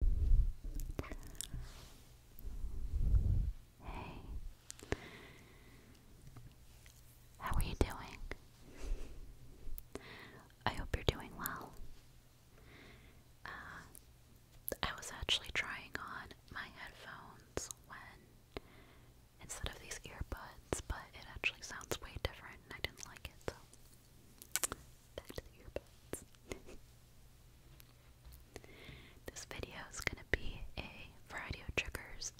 Hey. How are you doing? I hope you're doing well. Uh, I was actually trying on my headphones when, instead of these earbuds, but it actually sounds way different I didn't like it, Back to the earbuds. this video is gonna be a variety of triggers.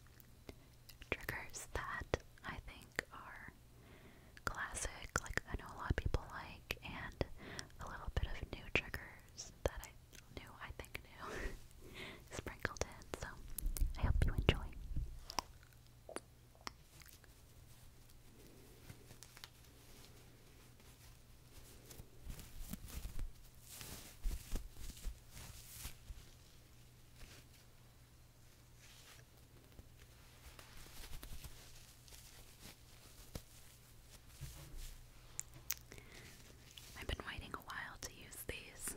Triggers that I think are classic, like I know a lot of people like, and a little bit of new triggers that I knew, I think knew, sprinkled in. So I hope you enjoy. I've been waiting a while to use these.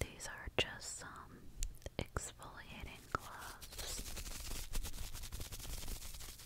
These are just some exfoliating gloves.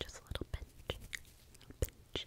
Just a little pinch, a pinch. Pinch. Pinch.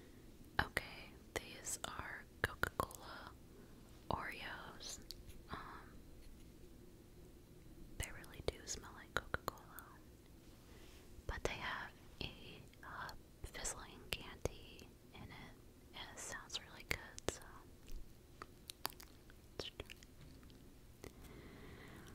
Okay, these are Coca-Cola Oreos. Um, they really do smell like Coca-Cola. But they have a uh, fizzling candy in it. And it sounds really good, so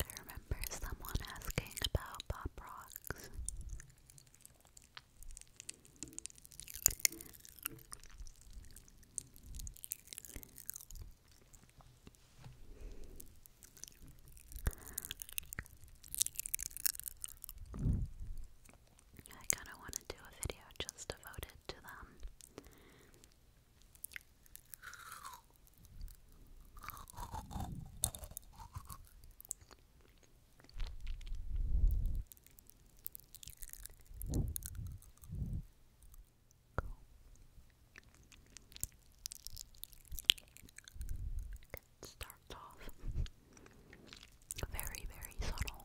I remember someone asking about pop rocks. I kind of want to do a video just devoted to them. It starts off very, very subtle.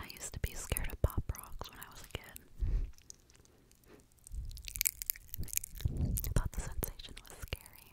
I used to be scared of pop rocks when I was a kid. I thought the sensation was scary.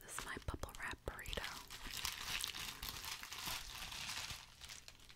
This is my bubble wrap burrito.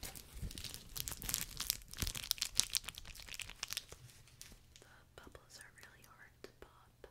The bubbles are really hard to pop.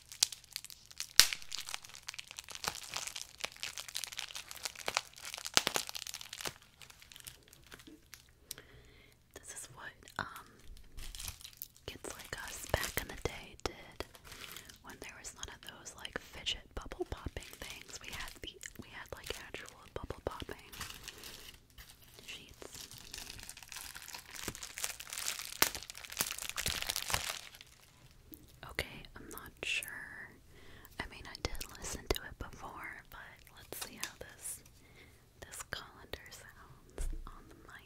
This is what um, kids like us back in the day did when there was none of those like fidget bubble popping things. We had the we had like actual bubble popping sheets. Okay, I'm not sure. I mean, I did listen to it before, but let's see how this this colander sounds on the mic.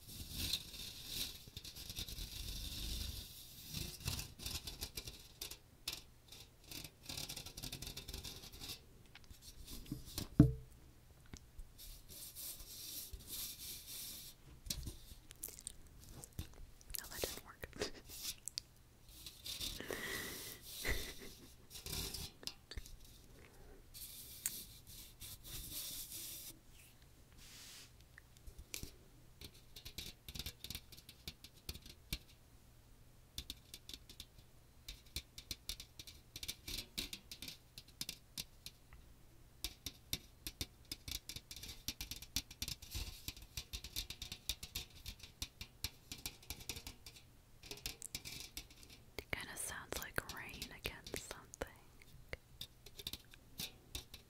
No, that didn't work. It kind of sounds like rain against something.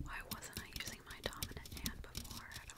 Why wasn't I using my dominant hand before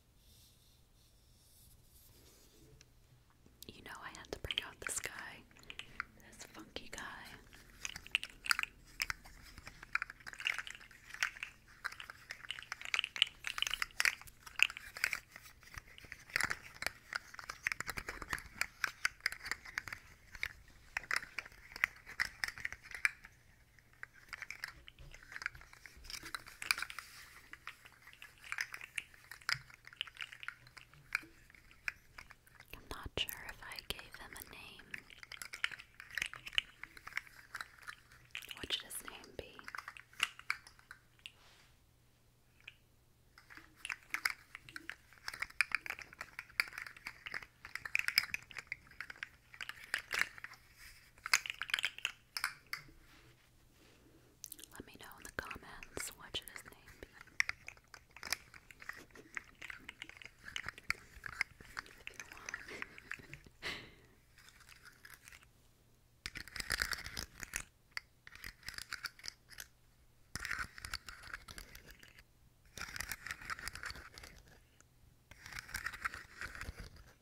You know, I had to bring out this guy, this funky guy. I'm not sure if I gave him a name. What should his name be? Let me know in the comments what his name If you want.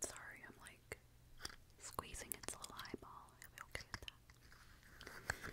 Sorry, I'm like squeezing its little eyeball. I'll okay with that. There.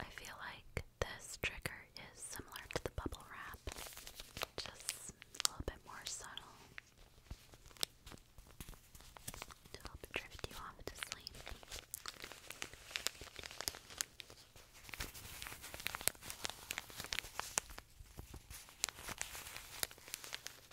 I feel like this trigger is similar to the bubble wrap, just a little bit more subtle to help drift you off to sleep.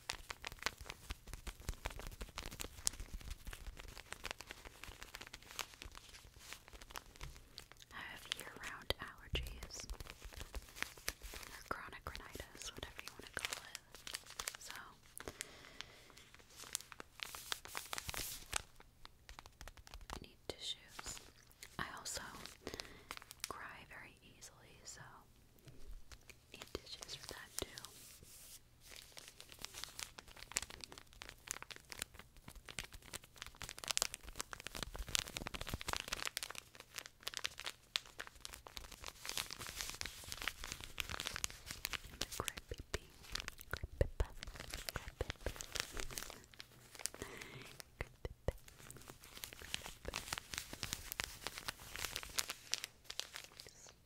I have year-round allergies chronic rhinitis, whatever you want to call it. So I need tissues. I also cry very easily, so need tissues for that too.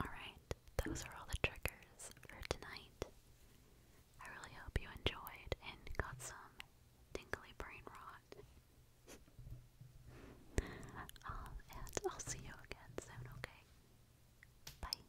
Alright, those are all the triggers for tonight. I really hope you enjoyed and got some tingly brain rot. Um, and I'll see you again soon, okay? Bye.